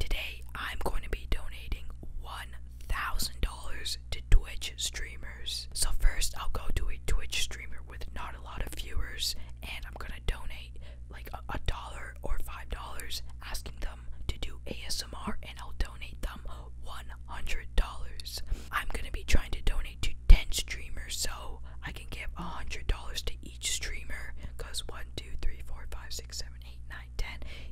Today I'm going to be donating $1,000 to Twitch streamers. So first I'll go to a Twitch streamer with not a lot of viewers and I'm going to donate like a, a dollar or five dollars asking them to do ASMR and I'll donate them $100. I'm going to be trying to donate to 10 streamers so I can give $100 to each streamer because 1, 2, 3, 4, 5, 6, 7, 8, 9, 10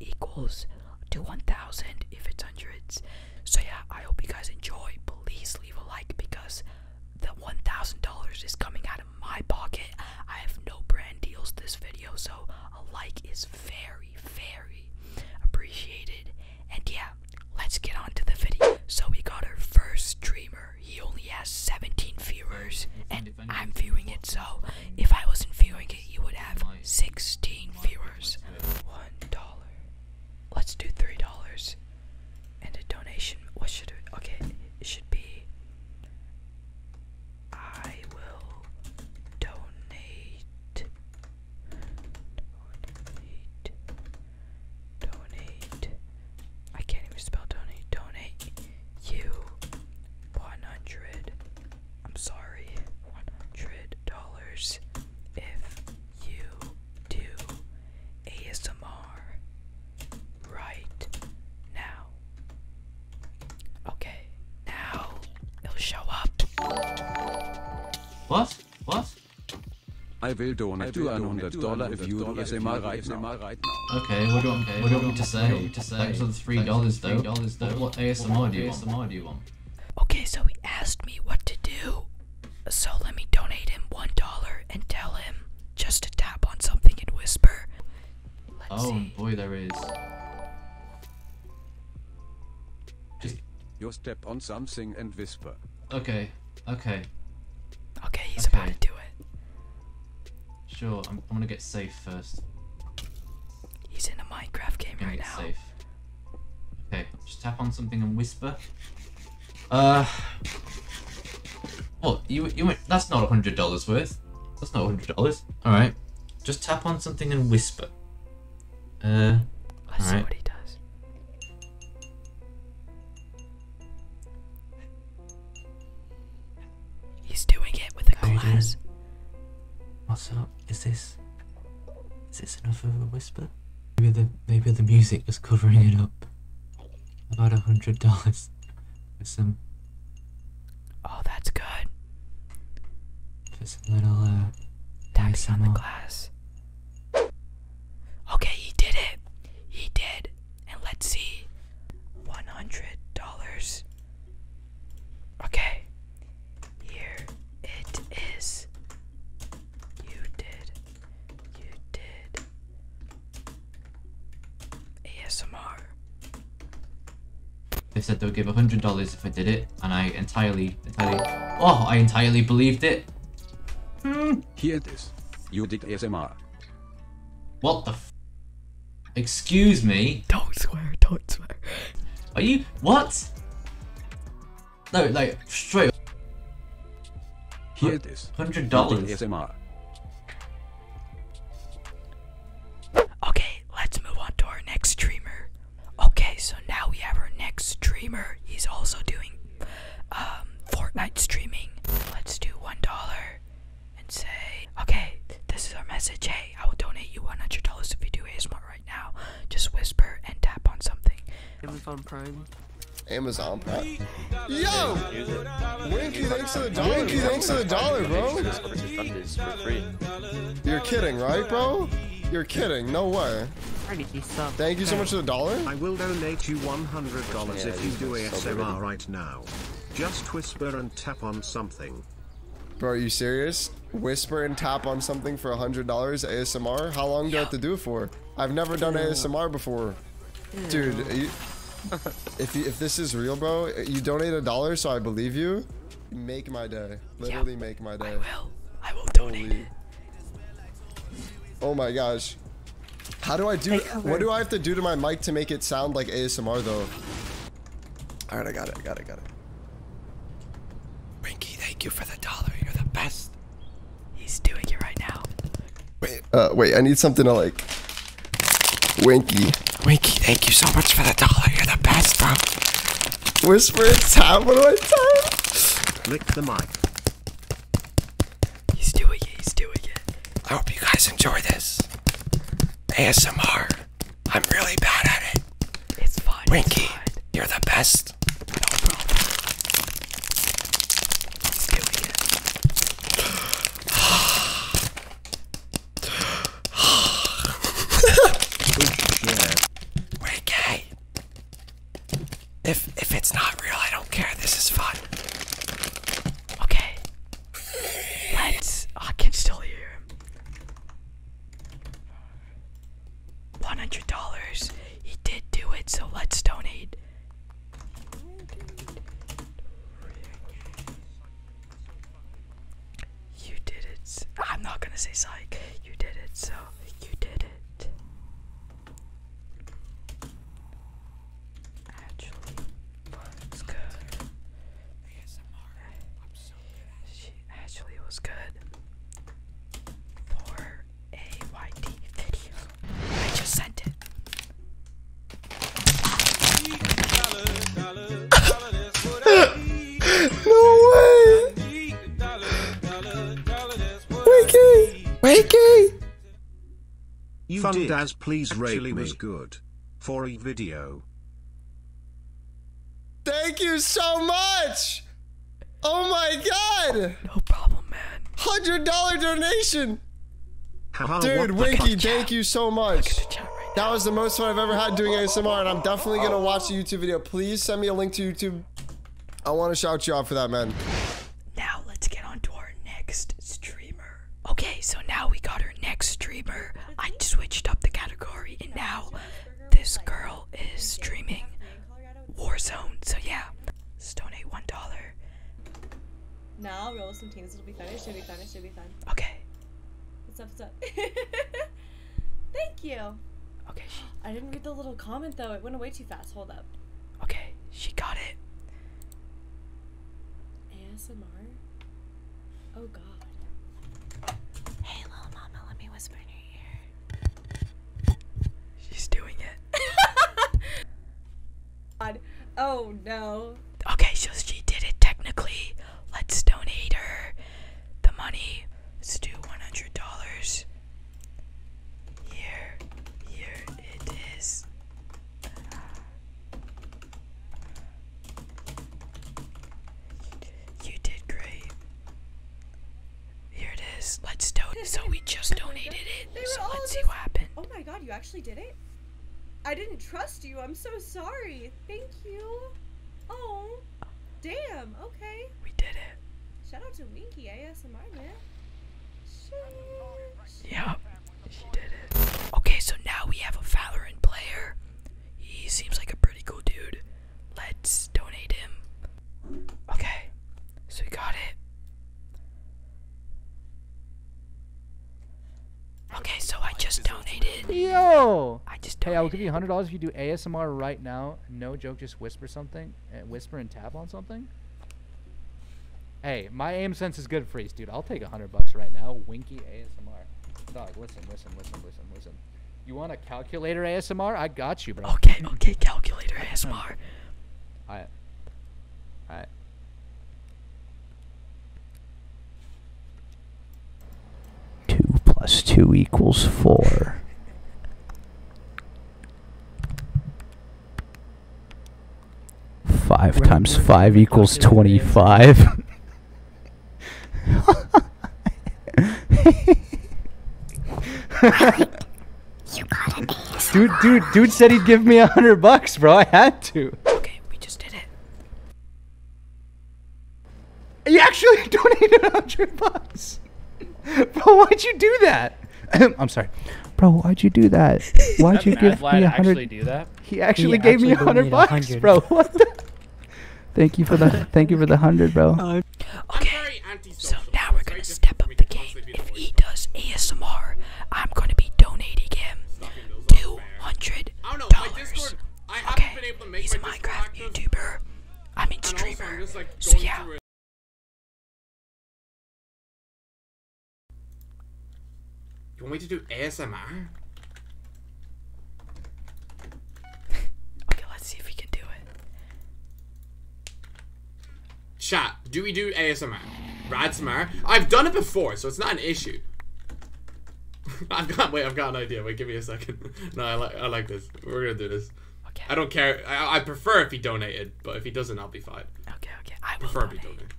equals to 1,000 if it's hundreds. So yeah, I hope you guys enjoy. Please leave a like because the $1,000 is coming out of my pocket. I have no brand deals this video so a like is very, very appreciated and yeah, let's get on to the video. So we got our first streamer. He only has 17 viewers, and I'm viewing it. So if I wasn't viewing it, you would have 16 viewers. One dollar. Let's do three dollars. And a donation. What should it? Okay, it should be. I will Donate donate. I can't even spell donate. Donate you 100. I'm sorry, 100 dollars if you do ASMR right now. Okay, now it'll show up. What? What? I will donate 200 dollar if you do SMR right Okay, what do, I, okay, what do you want me to say? To say Thanks for the three dollars though. dollars though. What ASMR do you want? ASMR do you want? Okay, so he asked me what to do. So let me donate him one dollar and tell him just to tap on something and whisper. oh boy, there is. Just you step on something and whisper. Okay. Okay. Okay, he's about to do it. Sure, I'm, I'm gonna get safe first. He's in a Minecraft game right now. Safe. Okay, just tap on something and whisper. Uh. What? You, you went. That's not a $100 worth. That's not a $100. Alright. Just tap on something and whisper. Uh. Let's see what he does. He's doing it with a glass. What's up? Is this is this enough of a whisper? Maybe the maybe the music is covering it up. About a hundred dollars for some. Oh, that's good. For some little uh. Tax on the glass. Okay, he did it. He did. And let's see. $100. Okay. Here it is. You did. You did. ASMR. They said they'll give $100 if I did it, and I entirely, entirely, oh, I entirely believed it. Hmm. Here it is. You did ASMR. What the Excuse me? Don't swear, don't swear. Are you- what? No, like, straight Here it is. Hundred dollars. ASMR. Okay, let's move on to our next streamer. Okay, so now we have our next streamer. He's also doing um, Fortnite streaming. Let's do one dollar and say, okay, this is our message. Hey, I will donate you one hundred dollars if you do ASMR right now. Just whisper and tap on something. Amazon Prime. Amazon Prime. Yo! Winky, thanks to the dollar. Winky, thanks to the dollar, bro. You're kidding, right, bro? You're kidding. No way. Thank you so much for the dollar. I will donate you $100 if you do ASMR so right now. Just whisper and tap on something. Bro, are you serious? Whisper and tap on something for $100 ASMR? How long do I have to do it for? I've never done ASMR before. Dude, if, if this is real, bro, you donate a dollar so I believe you, make my day. Literally make my day. I will. I will donate Oh my gosh. How do I do? What do I have to do to my mic to make it sound like ASMR though? All right, I got it. I got it. I got it. Rinky, thank you for the dollar. You're the best. He's doing it right now. Wait, uh, wait. I need something to like. Winky. Winky, thank you so much for the dollar. You're the best, bro. Whisper in time. What do I time? Lick the mic. He's doing it, he's doing it. I hope you guys enjoy this. ASMR. I'm really bad at it. It's fun. Rinky, you're the best. No problem. He's doing it. Winky, if if it's not real, I don't care. This is fun. Okay. Let's. I can still hear One hundred dollars. He did do it, so let's donate. You did it. I'm not gonna say psych. You did it, so you did it actually was good. She actually was good for a video. I just sent it. no way! Winky, Winky, You Fun did. Daz, please rate me. was good. For a video. Thank you so much! Oh my god! No problem, man. Hundred dollar donation! Dude, Winky, thank you so much. that was the most fun I've ever had doing ASMR, and I'm definitely gonna watch the YouTube video. Please send me a link to YouTube I want to shout you out for that, man. Now let's get on to our next streamer. Okay, so now we got our next streamer. I switched up the category, and now this girl is streaming Warzone. So yeah, donate one dollar. Now roll some teams. It'll be fun. It should be fun. It should be fun. Okay. What's up? What's up? Thank you. Okay. I didn't read the little comment though. It went away too fast. Hold up. Okay, she got it. ASMR? Oh god. Hey little mama, let me whisper in your ear. She's doing it. god. Oh no. Okay, so she did it technically. Let's donate her the money. Let's do $100. Here, here it is. You did great. Here it is. Let's donate. So we just donated it. let's see what happened. Oh my god, you actually did it? I didn't trust you. I'm so sorry. Thank you. Oh, damn. Okay. We did it. Shout out to Winky ASMR, man. Yeah, she did it. Okay, so now we have a Valorant player. He seems like a pretty cool dude. Let's donate him. Okay, so we got it. Okay, so I just donated. Yo! I just donated. Hey, I will give you $100 if you do ASMR right now. No joke, just whisper something and whisper and tap on something? Hey, my aim sense is good freeze, dude. I'll take a hundred bucks right now. Winky ASMR. Dog, listen, listen, listen, listen, listen. You want a calculator ASMR? I got you, bro. Okay, okay, calculator ASMR. Alright. Alright. Two plus two equals four. 5 times 5 equals 25. dude, dude, dude said he'd give me a hundred bucks, bro. I had to. Okay, we just did it. You actually donated a hundred bucks. Bro, why'd you do that? I'm sorry. Bro, why'd you do that? Why'd you give me a hundred? He actually gave me a hundred bucks, bro. What thank you for the thank you for the hundred, bro. Uh, okay. So now we're gonna step up the game. If he does ASMR, I'm gonna be donating him two hundred dollars. Okay. He's a Minecraft YouTuber. I mean streamer. So yeah. You want me to do ASMR? okay, let's see if we can do it. Chat, do we do ASMR? Radsmar? I've done it before, so it's not an issue. I've got wait, I've got an idea. Wait, give me a second. No, I like I like this. We're gonna do this. Okay. I don't care. I, prefer if he donated, but if he doesn't, I'll be fine. Okay, okay. I prefer if he donated.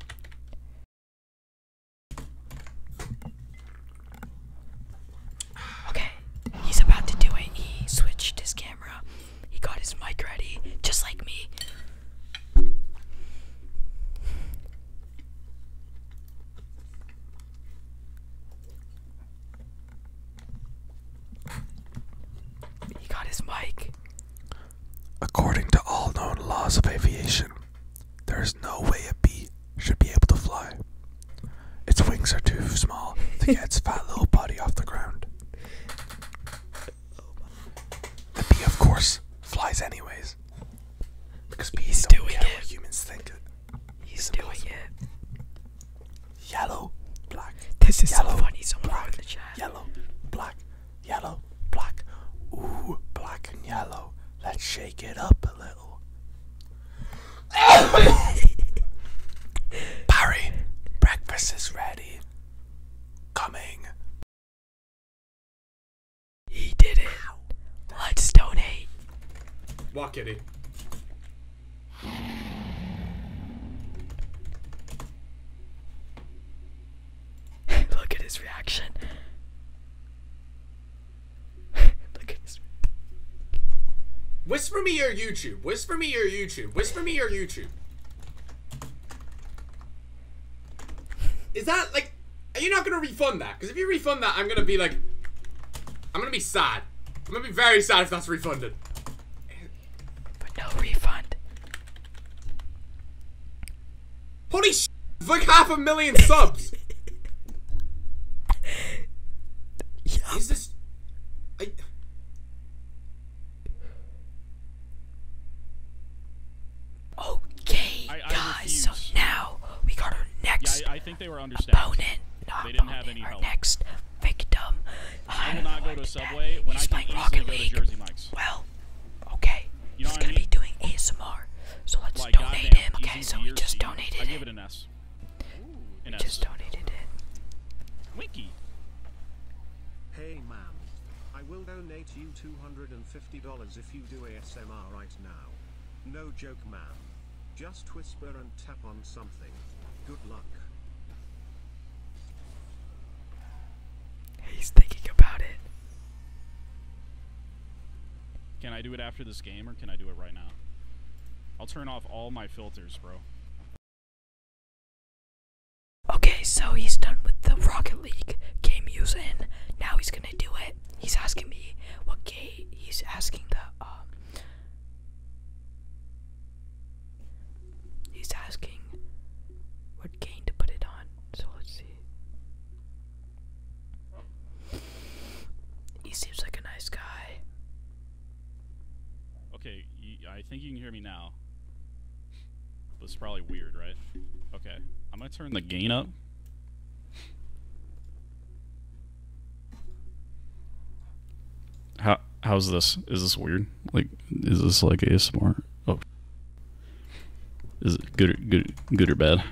Okay, he's about to do it. He switched his camera. He got his mic ready, just like me. He got his mic. According to all known laws of aviation, there is no way a bee should be able to fly. Its wings are too small to get its fat little body off the ground. The bee, of course, flies anyways. Because bees do it. humans think. He's doing it. Yellow, black. This is yellow, so funny. Someone black, Yellow, black, yellow, black. Ooh, black yellow. Let's shake it up a little. Barry, breakfast is ready. Coming. He did it. Let's donate. Walk, Look at his reaction. Whisper me your YouTube. Whisper me your YouTube. Whisper me your YouTube. Is that like? Are you not gonna refund that? Because if you refund that, I'm gonna be like, I'm gonna be sad. I'm gonna be very sad if that's refunded. But no refund. Holy sh! It's like half a million subs. Yep. Is this? Okay, guys. So now we got our next I, think they were opponent. Not they didn't have any our help. next I, I will not go to Subway when I can Rocket go to Jersey Mike's. Well, okay. He's gonna be doing ASMR, so let's donate him. Okay, so we just donated I give it an S. just donated it. Winky. Hey, man. I will donate you $250 if you do ASMR right now. No joke, man. Just whisper and tap on something. Good luck. He's thinking about it. Can I do it after this game or can I do it right now? I'll turn off all my filters, bro. Okay, so he's done with the Rocket League game using. Now he's gonna do it. He's asking me what game. He's asking the um, He's asking what gain to put it on, so let's see. He seems like a nice guy. Okay, I think you can hear me now. This is probably weird, right? Okay, I'm gonna turn the gain up. How how's this? Is this weird? Like, is this like a ASMR? Oh, is it good? Or, good? Good or bad?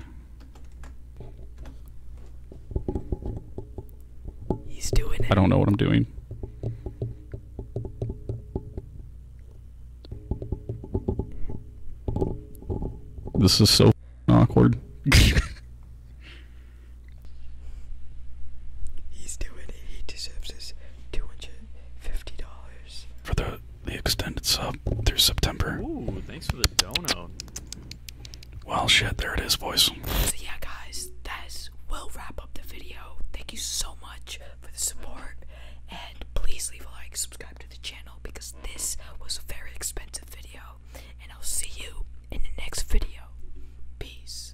He's doing it. I don't know what I'm doing. This is so awkward. He's doing it. He deserves his two hundred fifty dollars for the extended sub through September. Ooh, thanks for the donut. Well, shit, there it is, boys. So yeah, guys, that is, will wrap up the video. Thank you so much for the support, and please leave a like, subscribe to the channel because this was a very expensive video. And I'll see you in the next video. Peace.